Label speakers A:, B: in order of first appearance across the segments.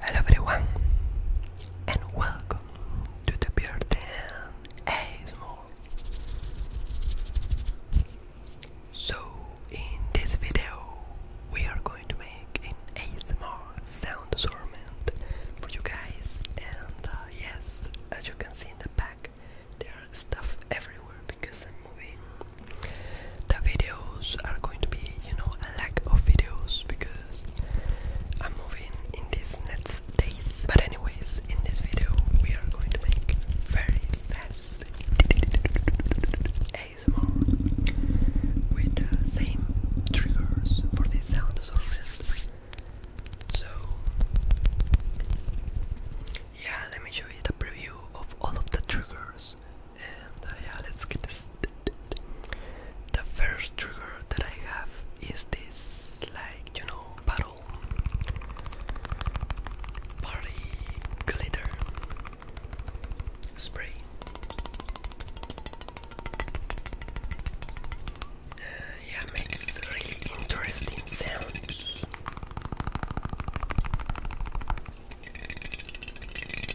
A: Hello everyone and welcome to the Pure ASMR So in this video we are going to make an ASMR sound assortment for you guys and uh, yes as you can see in the back there are stuff everywhere because I'm moving. The videos are going to be, you know, a lack of videos because I'm moving in these next days. But anyways, in this video we are going to make very fast ASMR with the same triggers for this sound assortment so yeah, let me show you the preview of all of the triggers, and uh, yeah, let's get this. The first trigger that I have is this, like you know, battle party glitter spray uh, yeah, makes really interesting sounds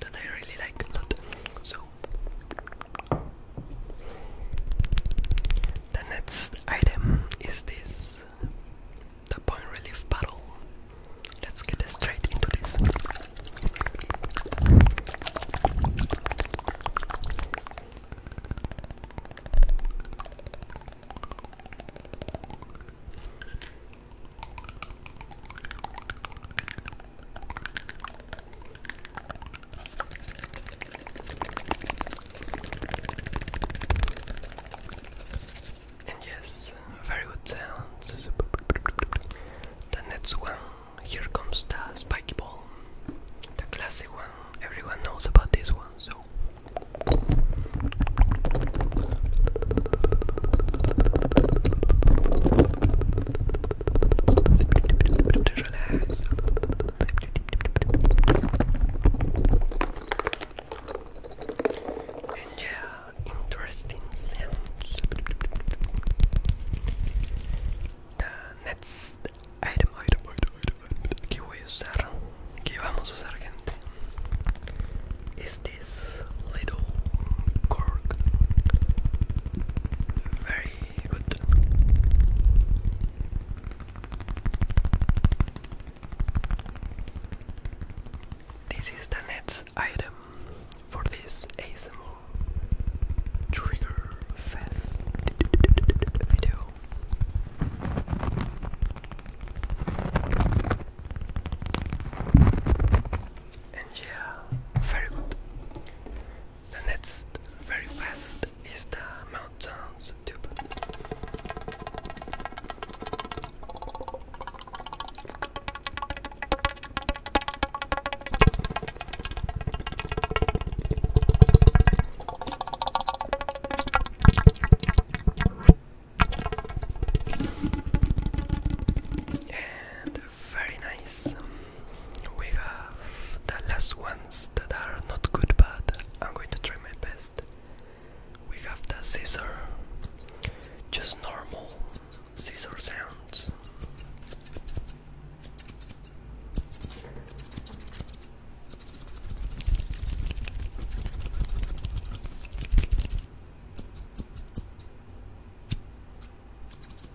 A: that I really like a lot. So the next item is this the point relief bottle. Let's get straight into this. And yes, very good sounds. The next one, here comes the spiky ball the classic one. Everyone knows about this one, so. Relax. And yeah, interesting sounds. The next item, item, item, item, item que voy a usar, que vamos a usar, gente, is this little cork. Very good. This is the next item for this ASMR trigger fest video. And yeah, very good. The next, very fast, is the Mount tube. And very nice. We have the last ones that are not good, but I'm going to try my best. We have the scissor, just normal scissor sounds.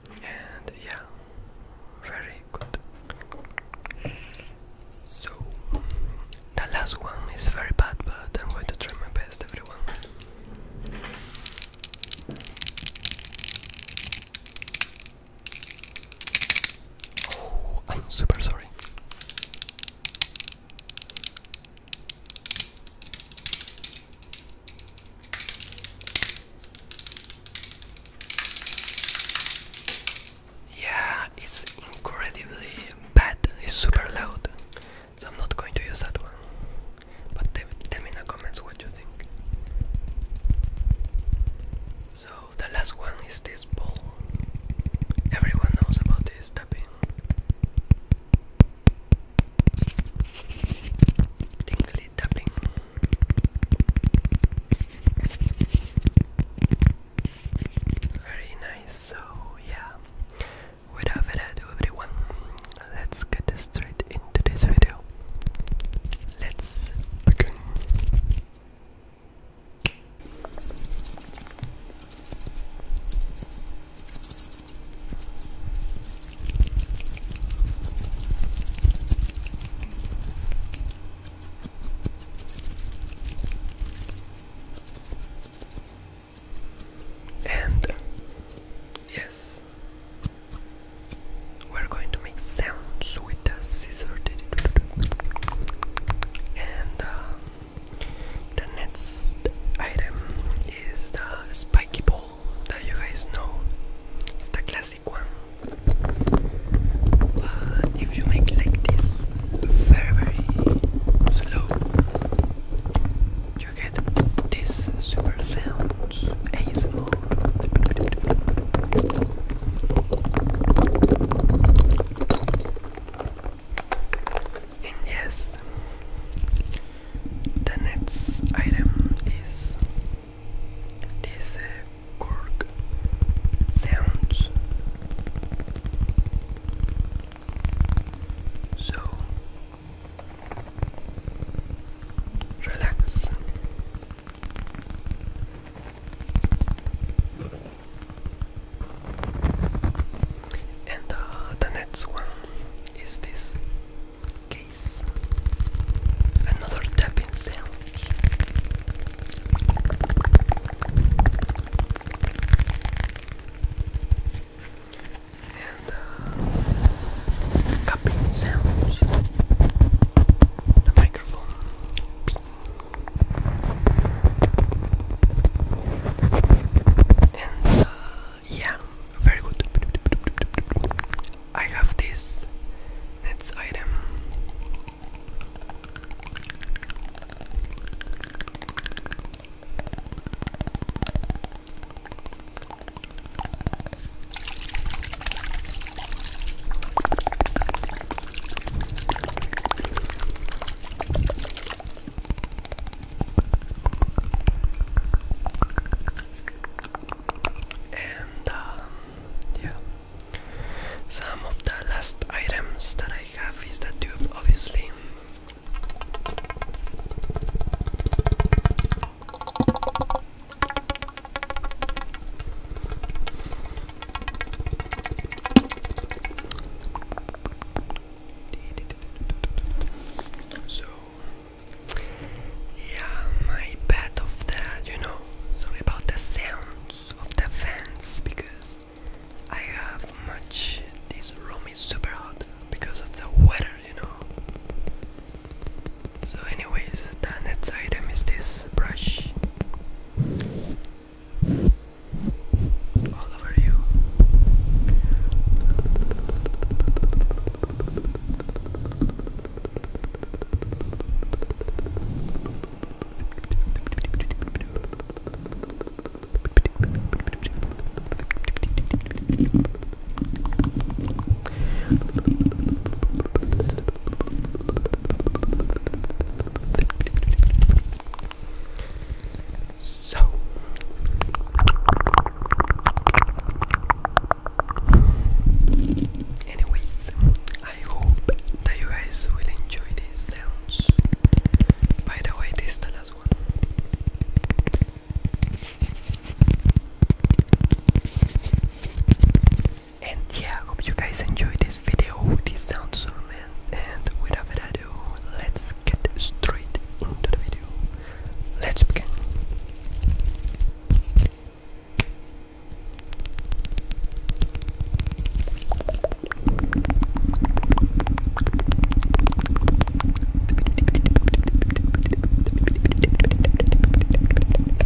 A: And yeah, very good. So, the last one is very bad, but I'm going to try my best, everyone. Oh, I'm super sorry. Yeah, it's incredibly bad, it's super loud, so I'm not going to use that one. But tell me in the comments what you think. So the last one is this ball. Everyone knows about this tapping. Tinkly tapping. Very nice. So yeah. Without further ado everyone, let's get straight into this video. Let's begin. And yes, we're going to make sounds with the scissors, And uh, the next item is the spiky ball that you guys know. It's the classic one. But uh, if you make like this very very slow, you get this super sound. ASMR yes, the next item is this cork uh, sounds. So relax. And uh, the next one is this case. Another tapping sounds. And uh, sounds. And uh, yeah, very good. I have this next item. And um, yeah, some of the last items that I have is the tube, obviously. So, yeah, my bad of that, you know, sorry about the sounds of the fans because I have much. This room is super hot because of the weather, you know. So anyways, the next item is this brush. All over you. So anyways, I hope that you guys will enjoy these sounds. By the way, this is the last one. And yeah, hope you guys enjoy this video, this sound so man. And without further ado, let's get straight into the video. Let's begin.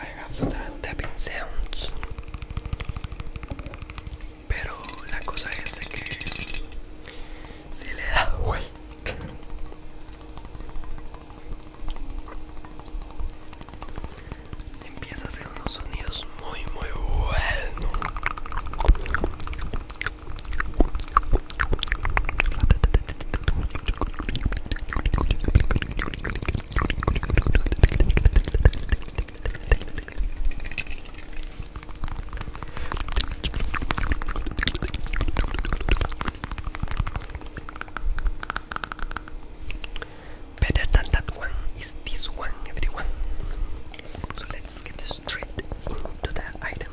A: I have tapping sounds. Pero la cosa es que si le da vuelta. Empieza a hacer unos sonidos muy muy buenos. Better than that one is this one, everyone. So let's get straight into the item.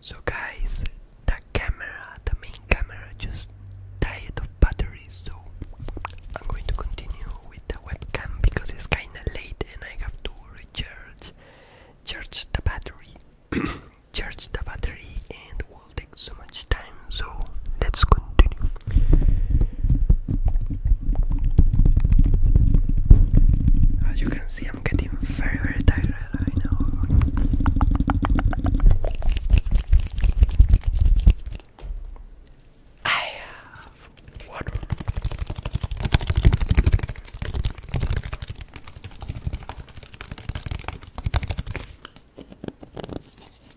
A: So guys, the camera, the main camera just died of batteries. so I'm going to continue with the webcam because it's kinda late and I have to recharge charge the battery. charge the battery and it will take so much time so let's continue as you can see, I'm getting very, very tired right now. I water.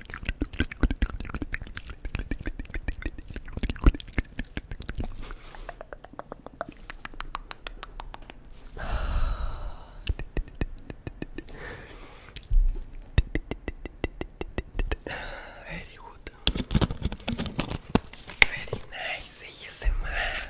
A: Very good. Very nice. Yes, man.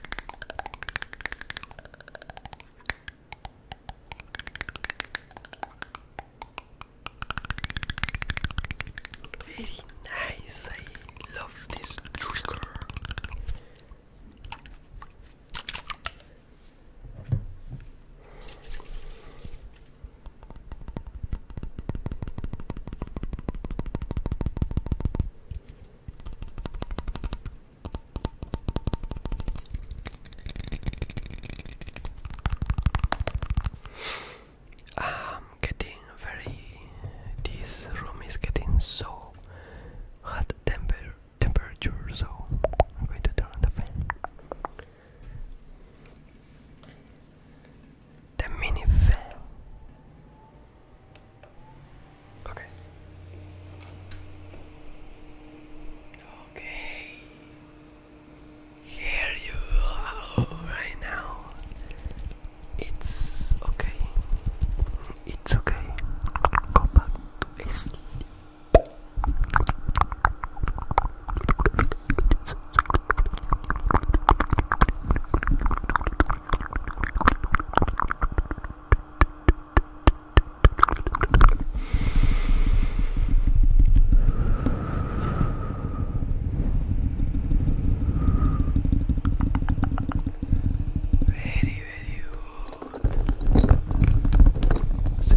A: Very nice, I love this trigger. I'm getting very. This room is getting so hot temper temperature, so I'm going to turn on the fan the minivan. Okay. Okay. Here you are right now. It's okay. It's okay. Go back to sleep. Very, very good. So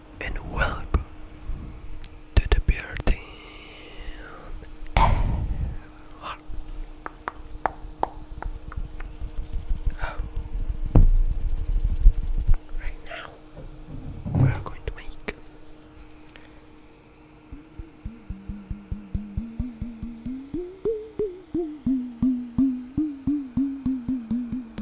A: and welcome to the party. Right now, we are going to make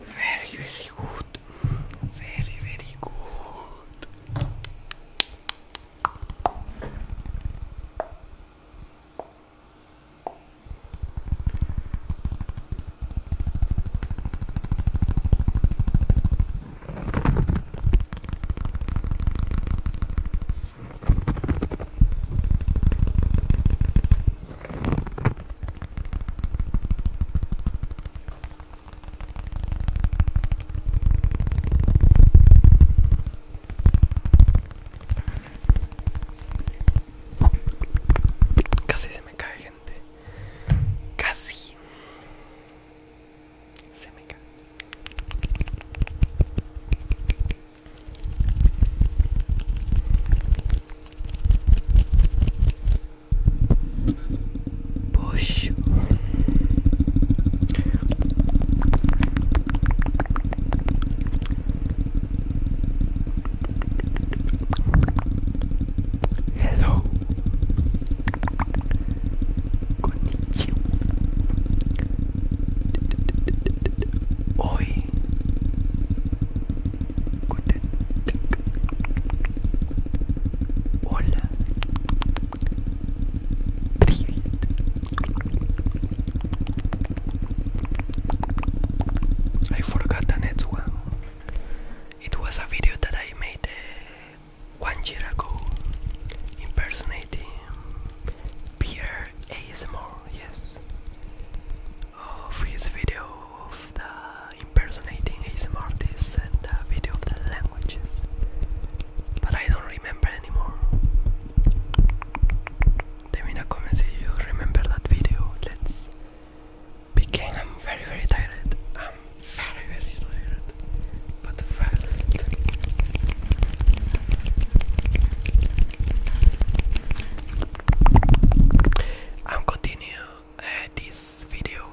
A: Very, very good. Very, very good. Casi se me cae gente. Casi. See my girl. Push. Hello. I forgot the next one. It was a video that I made uh, one year ago impersonating Pierre ASMR, yes, of his video of the impersonating ASMR artists and the video of the languages, but I don't remember anymore. Let me in the comments if you remember that video. Let's begin. I'm very, very tired. Ah very, very tired, but fast. I'm continue. Uh, this video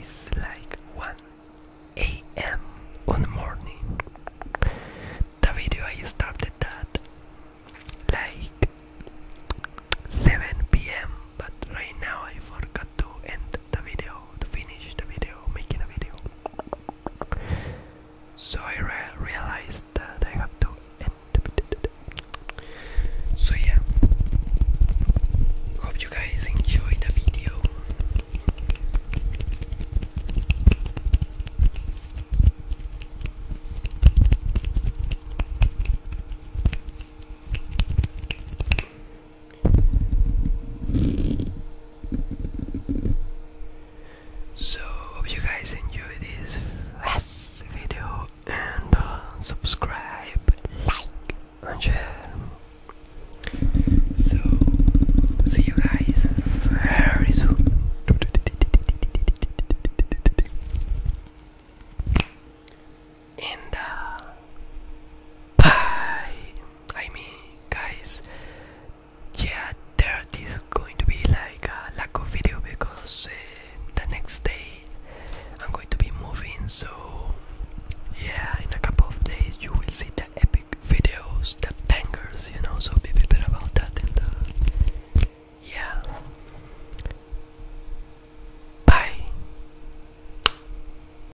A: is like 1 a.m. on the morning. The video I started that like 7 p.m. but right now I forgot to end the video, to finish the video, making a video. So I realized that I have to end the video. So yeah, hope you guys enjoyed the video. So hope you guys enjoy this video and uh, subscribe, like and share. So see you guys very soon. And uh, bye. I mean, guys, yeah, there is going to be like a lack of video because eh, the next day I'm going to be moving. So, yeah, in a couple of days you will see the epic videos, the bangers, you know. So be prepared about that. And uh, yeah, bye.